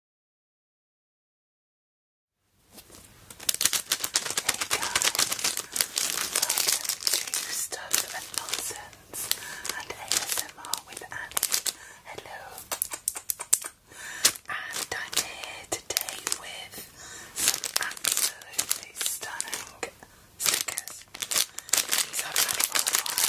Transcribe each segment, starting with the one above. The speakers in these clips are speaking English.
Hey guys, welcome to Stuff and Nonsense and ASMR with Annie. Hello. And I'm here today with some absolutely stunning stickers. These I've had stickers.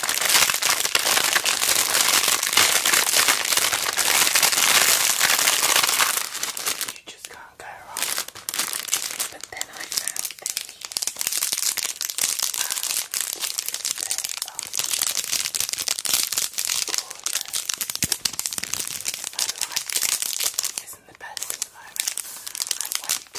You just can't go wrong. But then I found these. Um, I like this. Isn't the best at the moment. I went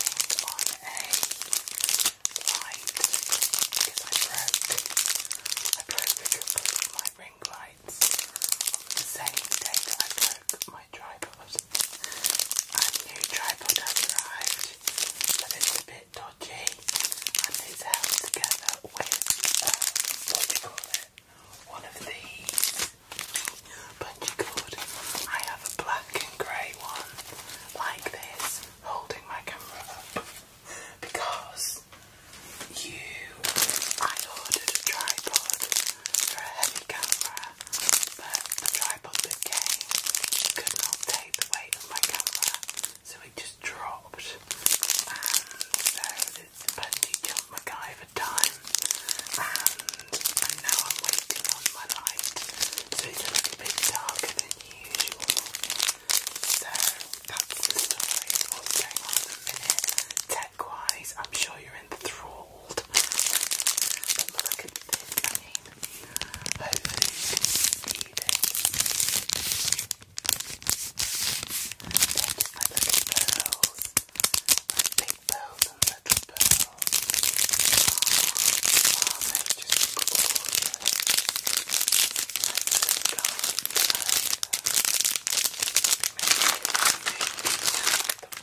on a because I broke I broke my ring lights the same day that I broke my tripod. A new tripod has arrived, but it's a bit dodgy and it's held together with what you call it? One of these bungee cord. I have a black and grey one like this, holding my camera up because you, I ordered a tripod for a heavy camera, but the tripod that came could not take the weight of my camera, so it just dropped. And so it's the bungee jump MacGyver time, and now I'm waiting on my light so it's a bit darker than usual. So that's the story of what's going on in the minute. Tech wise, I'm sure you're enthralled. look at this, I mean, hopefully you can see this. They're pearls, like big pearls and little pearls. Ah, oh, wow, they're just gorgeous the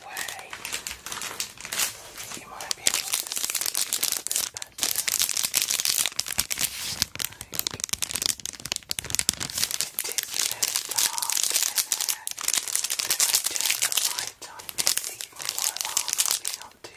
way, you might be able to see a little bit better. Like, it is so dark in here, but if I turn the light on, it's even more alarming, not too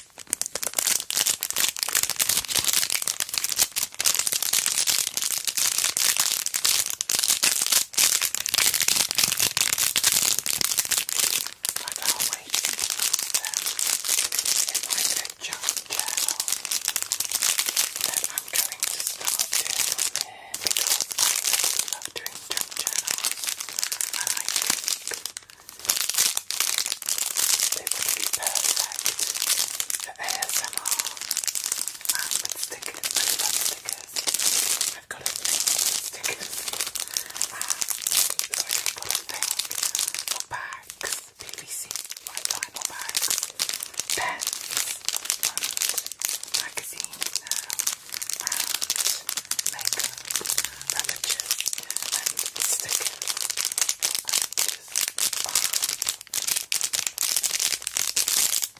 I always think that if I get a junk that I'm going to start doing them because I love doing junk journals and I they would be perfect for ASMR. And um, with stickers, I love stickers. I've got a thing with stickers. And um, like I've got a thing bags, BBC vinyl bags, pens, and magazines now, and makeup. Ravages and stickers.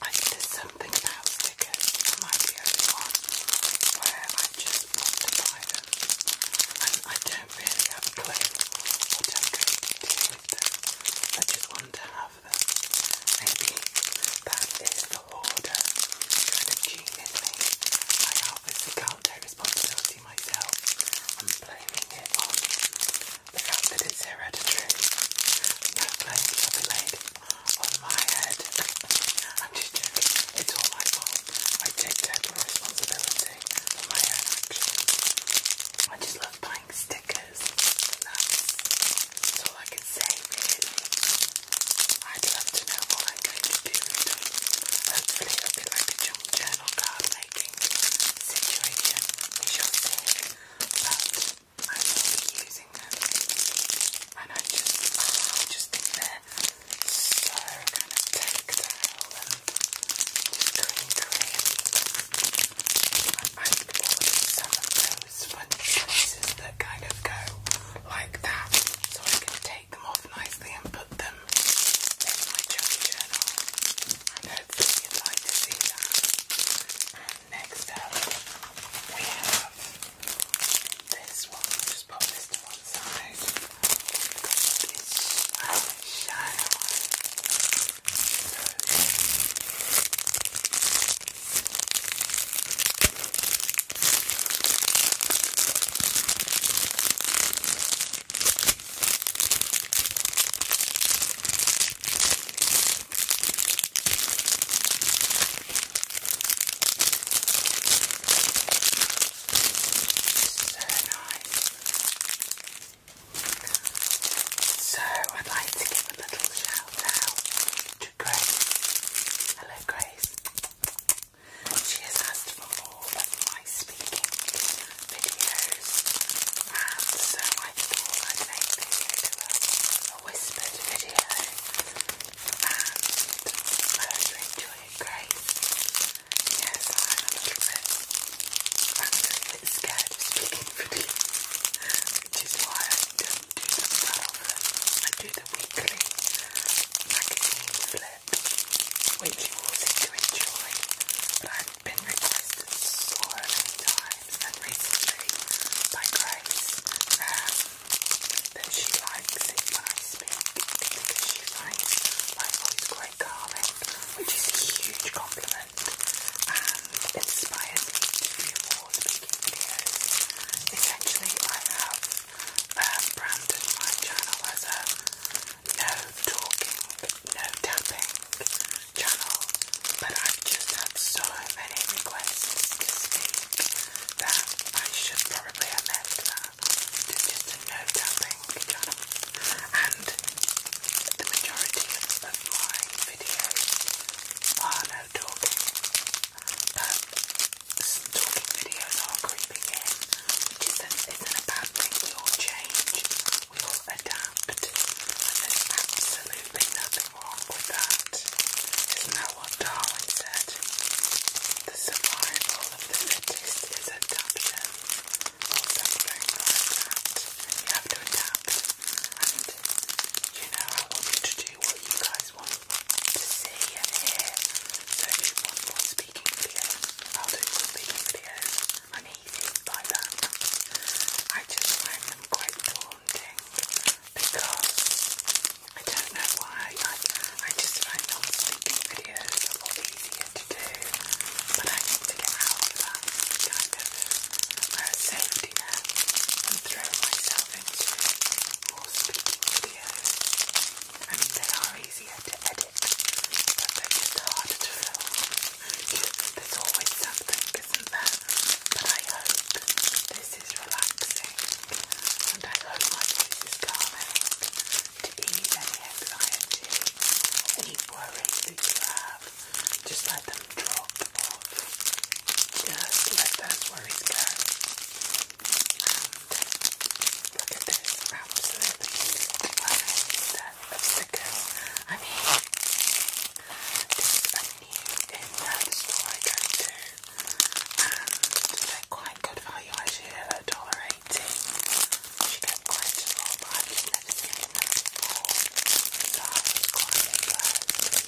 I, there's something about stickers. I might be only where I just want to them. And I don't really have a clue what I'm going to do them. I just want to have them. Maybe that is the order kind of gene in me. I obviously can't take responsibility I'm blaming it on the fact that it's hereditary. No blame shall be laid on my head. I'm just joking. It's all my fault. I take total responsibility for my actions. I just love buying stickers. That's, I can say, really. I'd love to know what I'm going to do with them. Hopefully be like a journal card making situation. We shall I will be using them. And I just, ah, I just think they're so kind of tactile and just clean, clean. I ordered some of those sponge pieces that kind of go like that so I can take take them off nicely and put them in my journal. And next up, we have this one. just pop this to one side. It's so shiny. So I'd like to give a little shout out to Grace. Hello Grace. She has for more of my speaking videos, and so I thought I'd make this a, whispered video, and I hope you enjoy it, Yes, I'm a little bit, I'm a little bit scared of speaking videos, which is why I do um, I do the weekly magazine flip, which you all enjoy. I've been requested so many times, and recently by Grace, um, she likes it when I speak because she finds my voice quite calming, which is a huge compliment and inspires me to do videos. Essentially, I have uh, branded my channel as a no talking, no tapping channel, but I've just had so many requests to speak that I should probably amend that to just a no tapping channel. And the majority of my videos are no talking but talking videos are creeping in, isn't, isn't a bad thing. We all change, we all adapt, there's absolutely nothing wrong with that. Isn't that what Darwin said? The survival of the fittest is adaptation, or something like that. You have to adapt, and you know, I want you to do what you guys want to see and hear. So if you want speaking videos, I'll do speaking videos. I'm easy by that. I just find them quite daunting because I don't know why. I, I just find non-speaking videos a lot easier to do. But I need to get out of that kind of uh, safety net and throw myself myself into more speaking videos. I they are easier to edit, but they're just harder to film. There's always something, isn't there? But I hope this is relaxing, and I hope my voice is to ease any anxiety, any worries that you have. Just let them drop just let those worry, go. look at this. Absolutely perfect set of stickers. I mean, this I knew in that store I go to. And they're quite good value actually at $1.80. You get quite a lot, but I've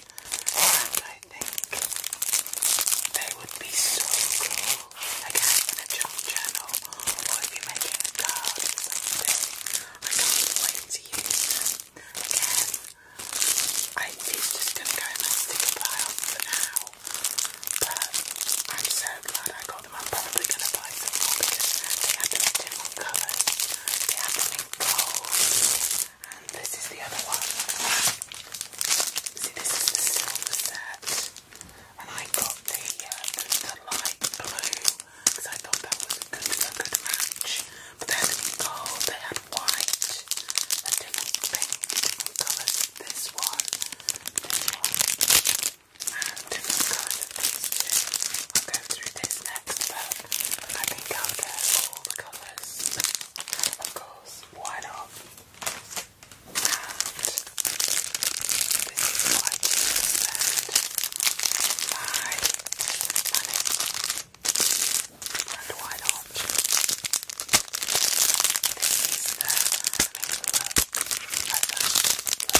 I think they would be so cool. Again, in a channel, or if making a I can't wait to use them. Again, I'm to go in my sticker pile for now, but I'm so glad I got them. I'm probably going to buy some more because they have them in different colours. And this is the other one. See, this is the silver set. And I got the, uh, the, light blue because I thought that was a good, good match. But they had oh, gold, they had white, a different pink, colours. This one, this one, and different colours. I'll go through this next, but I think I'll get all the colours. Of course, why not? And this is why not? This is the,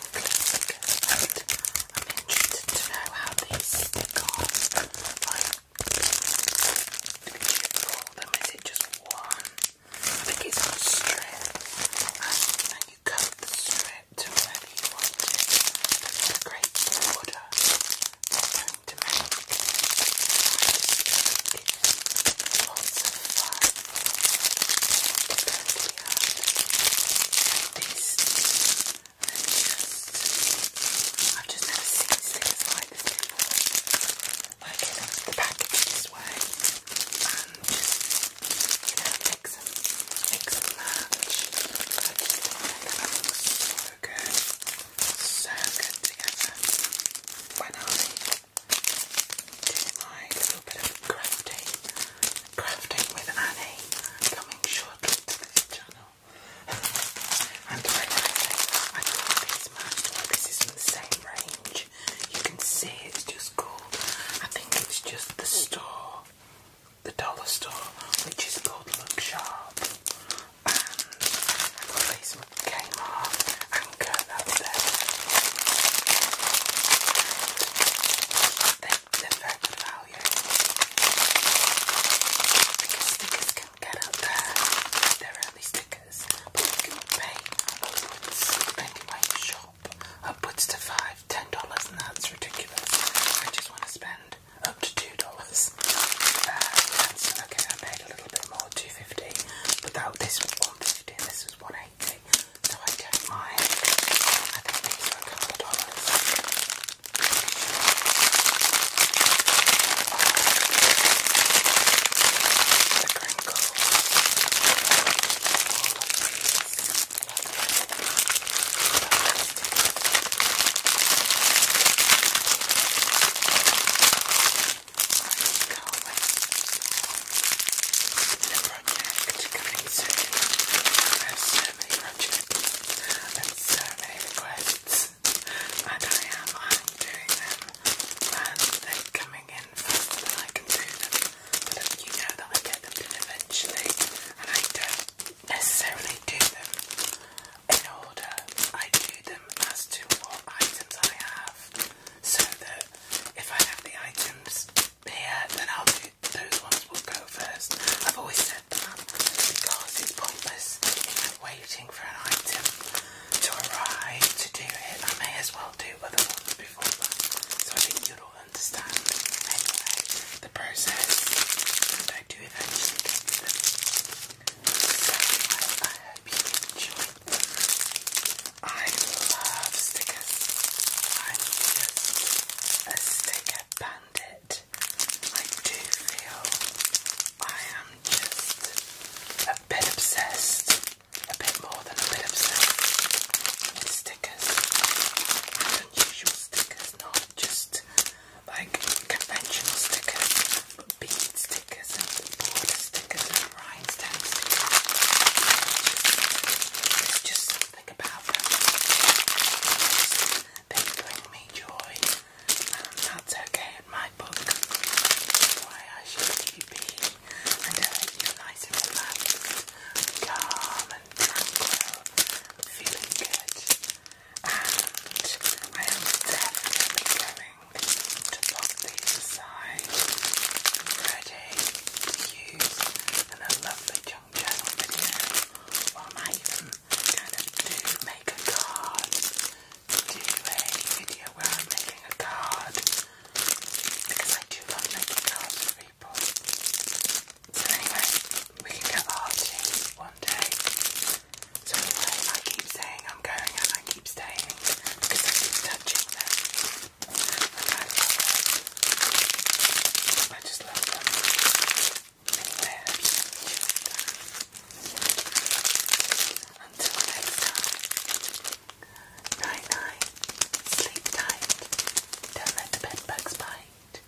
I'm interested to know how these cars like do you pull them? Is it just one? I think it's a strip and, and you cut the strip to wherever you want it. That's order going to make. I just this. Let me just, I've just never seen stickers like this before. Like in the package this way, and you know, mix and mix and match. I just find that that looks so good, so good together. When I Hi, little bit of crafting, crafting with Annie coming shortly to this channel. and I like, this is in the same range. You can see it's just gold. I think it's just the store, the dollar store, which is called Look Sharp. And I got these from longer though than than, than regular stickers can get out there. They're only stickers, but you can pay upwards depending shop. Upwards to five, ten dollars, and that's ridiculous. I just want to spend up to two dollars. Uh, okay, I paid a little bit more, two fifty, but that this was this is 180 so I don't mind. I think these are a couple of dollars. Oh, the crinkle. All go away. The project coming soon. I've so many projects and so many requests, and I am doing them, and they're coming in faster than I can do them. you know that I get them done eventually, and I don't necessarily do them in order. I do them as to what items I have so that if I have the items here, then I'll do those ones will go first. I've always said that because it's pointless waiting for an item to arrive to do it. I may as well do other ones before that. So I think you'll understand the process, and I do eventually get to them. I hope you enjoyed them. I love stickers. I'm just a sticker bandit. I do feel I am just a bit obsessed. A bit more than a bit obsessed with stickers. unusual stickers, not just like conventional stickers bead stickers and border stickers and rhinestone stickers. just something about them. They bring me joy, and um, that's okay in my book. why I should be, and I you nice and relaxed, calm and tranquil, feeling good. And I am definitely going to pop these aside, ready to use in a lovely junk journal video, or I might even kind of do make a card, do a video where I'm making a card, because I do love making cards for people. So anyway, we can get arty one day. So anyway, I keep saying I'm going and I keep staying because I keep touching them. And love them. I just love them. I hope you Until next time. Night night. Sleep tight. Don't let the bed bugs bite.